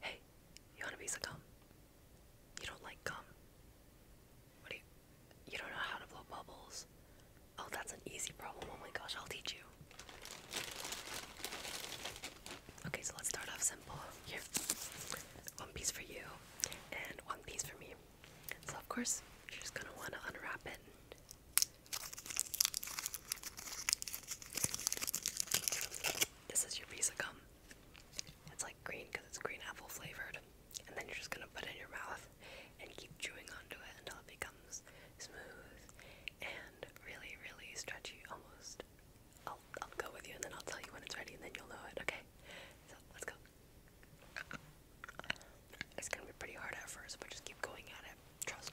Hey, you want a piece of gum? You don't like gum? What do you? You don't know how to blow bubbles? Oh, that's an easy problem. Oh my gosh, I'll teach you. Okay, so let's start off simple. Here, one piece for you, and one piece for me. So of course, you're just gonna want to unwrap it. This is your piece of gum. It's like green because it's green apple flavored. And then you're just gonna put it in your mouth and keep chewing onto it until it becomes smooth and really, really stretchy almost. I'll, I'll go with you and then I'll tell you when it's ready and then you'll know it, okay? So let's go. It's gonna be pretty hard at first, but just keep going at it. Trust.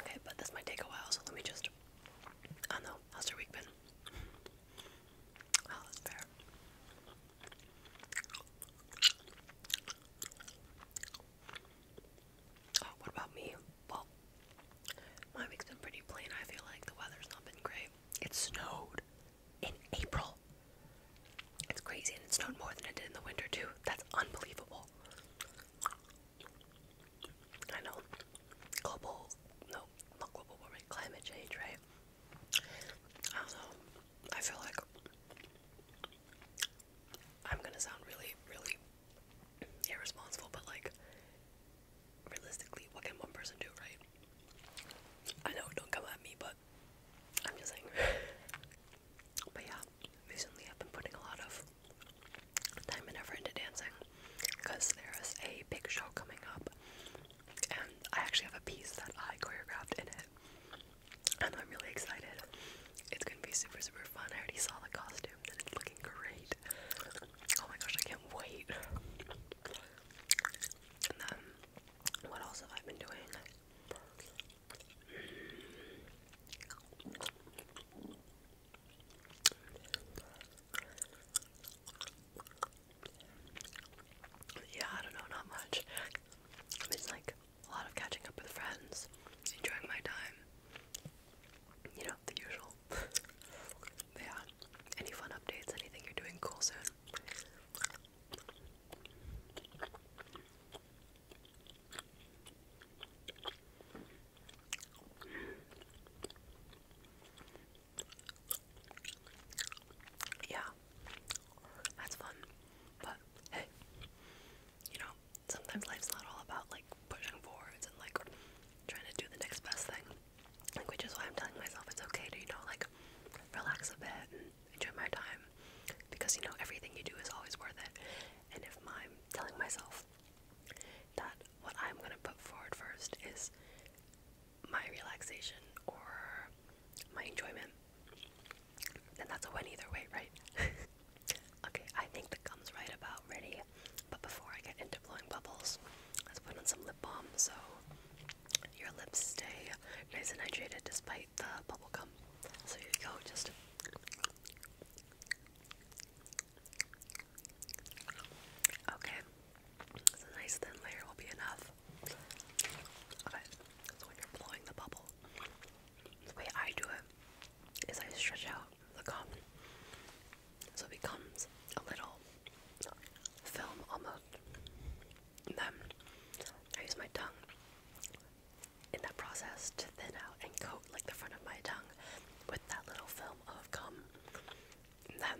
Okay, but this might take a while, so let me just. I know. How's your week been? Oh, that's fair. Oh, what about me? Well, my has been pretty plain. I feel like the weather's not been great. It snowed in April. It's crazy, and it snowed more than it did in the winter, too. That's unbelievable. I know. Global. No, not global warming. Climate change, right? I don't know. I feel like I'm gonna sound really, really irresponsible, but like, realistically, what can one person do, right? I know, don't come at me, but I'm just saying. But yeah, recently I've been putting a lot of time and effort into dancing because there is a big show coming up, and I actually have a piece that I choreographed in it, and I'm really excited. It's gonna be super, super fun. I already saw the costume, and it's looking great. Oh my gosh, I can't wait. And then, what else have I been doing? Yeah, I don't know, not much. It's like a lot of catching up with friends, enjoying my time. You know, the usual. yeah. Any fun updates? Anything you're doing cool soon? Yeah, that's fun. But hey, you know, sometimes life's not all about like pushing forwards and like trying to do the next best thing. Like, which is why I'm telling myself it's okay to, you know, like relax a bit enjoy my time because you know everything you do is always worth it. And if I'm telling myself that what I'm going to put forward first is my relaxation or my enjoyment, then that's a win either way, right? okay, I think the gum's right about ready, but before I get into blowing bubbles, let's put on some lip balm so your lips stay nice and hydrated despite the bubble gum. So here we go just Okay. a nice thin layer will be enough. Okay. So when you're blowing the bubble, the way I do it is I stretch out the gum so it becomes a little film almost. then I use my tongue in that process to thin out and coat like the front of my tongue with that little film of gum. And then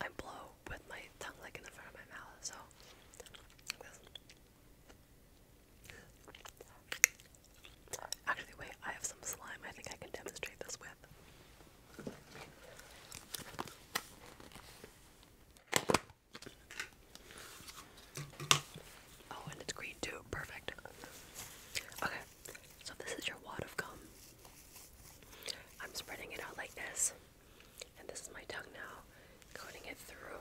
I blow with my tongue like in the front of my mouth. So Actually, wait, I have some slime I think I can demonstrate this with. Oh, and it's green too. Perfect. Okay, so this is your wad of gum. I'm spreading it out like this, and this is my tongue now, coating it through,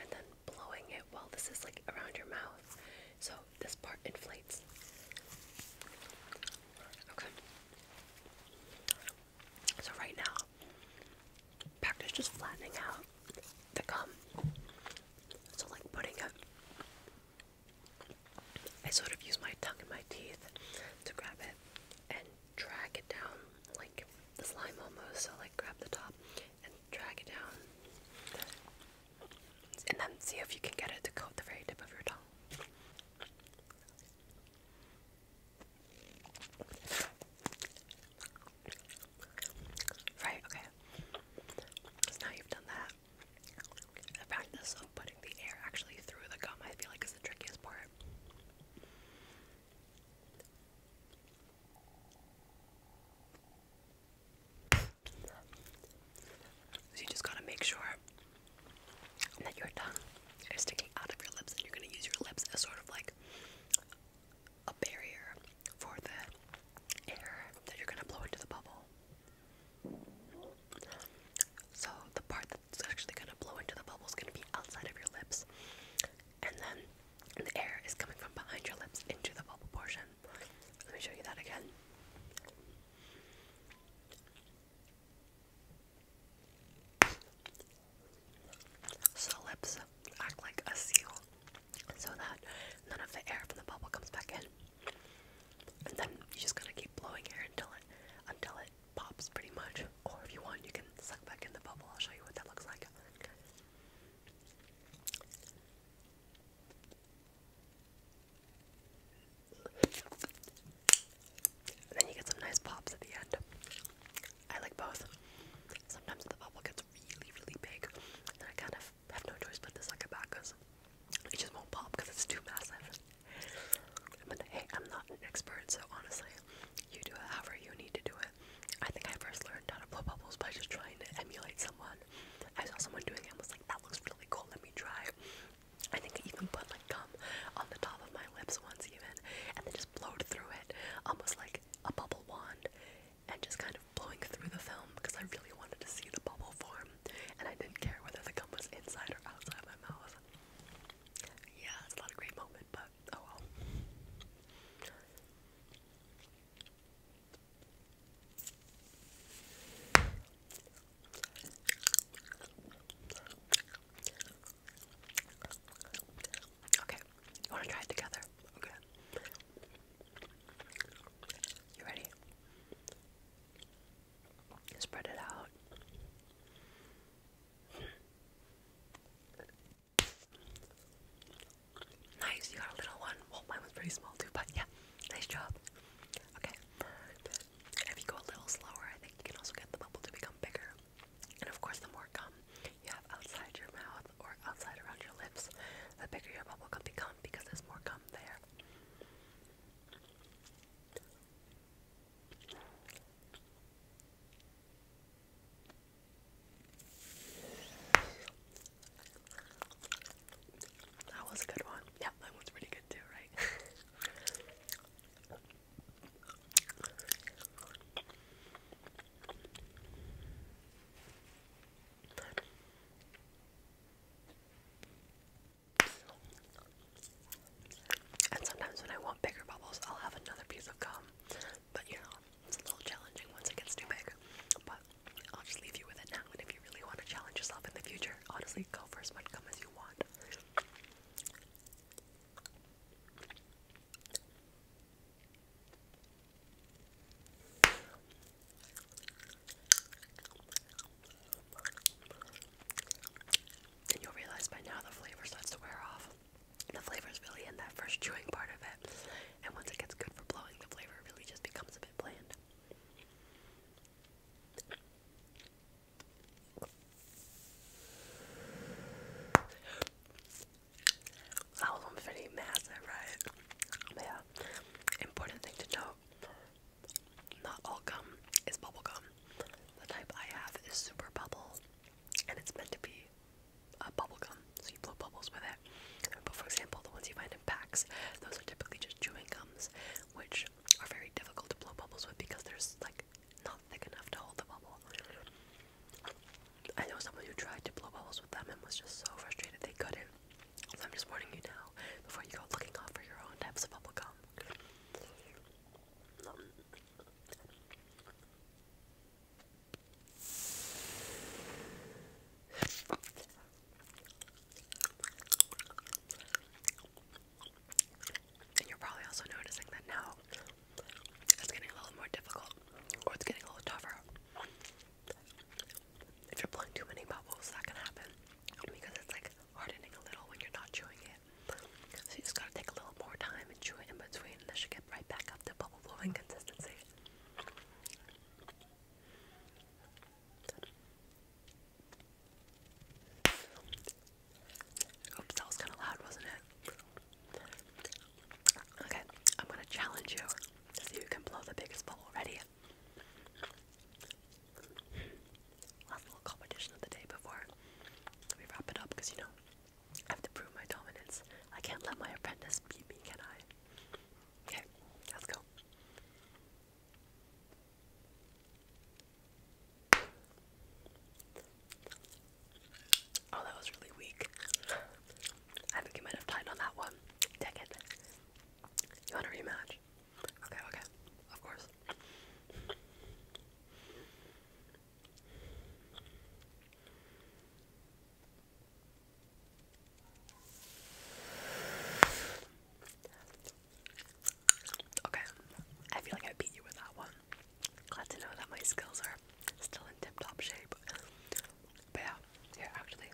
and then blowing it while this is like around your mouth. So this part inflates. Okay. So right now, practice just flattening out the gum. So, like putting it, I sort of use my tongue and my teeth to grab it and drag it down, like the slime almost. So, like, grab the top and drag it down, and then see if you can get it to coat the very tip of your tongue. Right, okay. So now you've done that. The practice of putting the air actually through the gum, I feel like, is the trickiest part. So you just gotta make sure that your tongue is sticking out of your lips, and you're gonna use your lips as sort of like a barrier for the air that you're gonna blow into the bubble. So the part that's actually gonna blow into the bubble is gonna be outside of your lips, and then the air is coming from behind your lips into the bubble portion. Let me show you that again. Solips act like a seal so that none of the air from the bubble comes back in. And then you just gotta keep blowing air until it until it pops pretty much. Or if you want you can suck back in the bubble. I'll show you what that looks like. And then you get some nice pops at the end. I like both. Sometimes the bubble gets really, really big, and I kind of have no choice but to suck it back because it just won't pop because it's too massive. But hey, I'm not an expert, so honestly, you do it however you need to do it. I think I first learned how to blow bubbles by just trying to emulate someone. I saw someone doing it and was like, that looks really cool, let me try. I think I even put like gum on the top of my lips once, even, and then just blowed through it, almost like a bubble wand, and just kind of blowing through the film because I really wanted to see the bubble form, and I didn't care whether the gum was inside or outside my mouth. Yeah, it's not a great moment, but oh well. Okay, you want to try it together? Okay. You ready? Spread it out. Nice, you got a little one. Well, mine was pretty small too, but yeah, nice job. Okay, if you go a little slower, I think you can also get the bubble to become bigger. And of course, the more gum you have outside your mouth or outside around your lips, the bigger your bubble gum becomes because there's more gum there. That was a good one. Yeah, that one's pretty good too, right? And sometimes when I want bigger bubbles, I'll have another piece of gum. But you know, it's a little challenging once it gets too big. But I'll just leave you with it now. And if you really want to challenge yourself in the future, honestly, go for as much gum as you want. And you'll realize by now the flavor starts to wear off. The flavor is really in that first chewing part of it. And once it gets good for blowing, the flavor really just becomes a bit bland. That was pretty massive, right? yeah, important thing to note not all gum is bubble gum. The type I have is super bubble, and it's meant to be a bubble gum, so you blow bubbles with it. But for example, the ones you find in packs, those are typically just chewing gums, which are very difficult to blow bubbles with because there's like not thick enough to hold the bubble. I know someone who tried to blow bubbles with them and was just so frustrated they couldn't. So I'm just warning you now before you go looking out for your own types of bubble gum. And you're probably also noticing that now it's getting a little more difficult or it's getting a little tougher. If you're blowing too many bubbles, that can happen because it's like hardening a little when you're not chewing it. So you just gotta take a little more time and chew it in between, and then you get right back up to bubble blowing consistency that was kind of loud, wasn't it? Okay, I'm gonna challenge you to see who can blow the biggest bubble. Ready? Last little competition of the day before we wrap it up, because you know, I have to prove my dominance. I can't let my apprentice beat me, can I? Okay, let's go. Oh, that was really weak. I think you might have tied on that one. Take it. You want a rematch? Okay, okay. Of course. Okay, I feel like I beat you with that one. Glad to know that my skills are still in tip top shape. But yeah, here actually.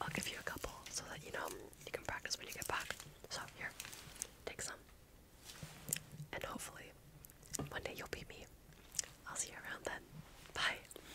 I'll give you a couple so that you know you can practice when you get back. So here, take some. And hopefully, one day you'll beat me. I'll see you around then. Bye.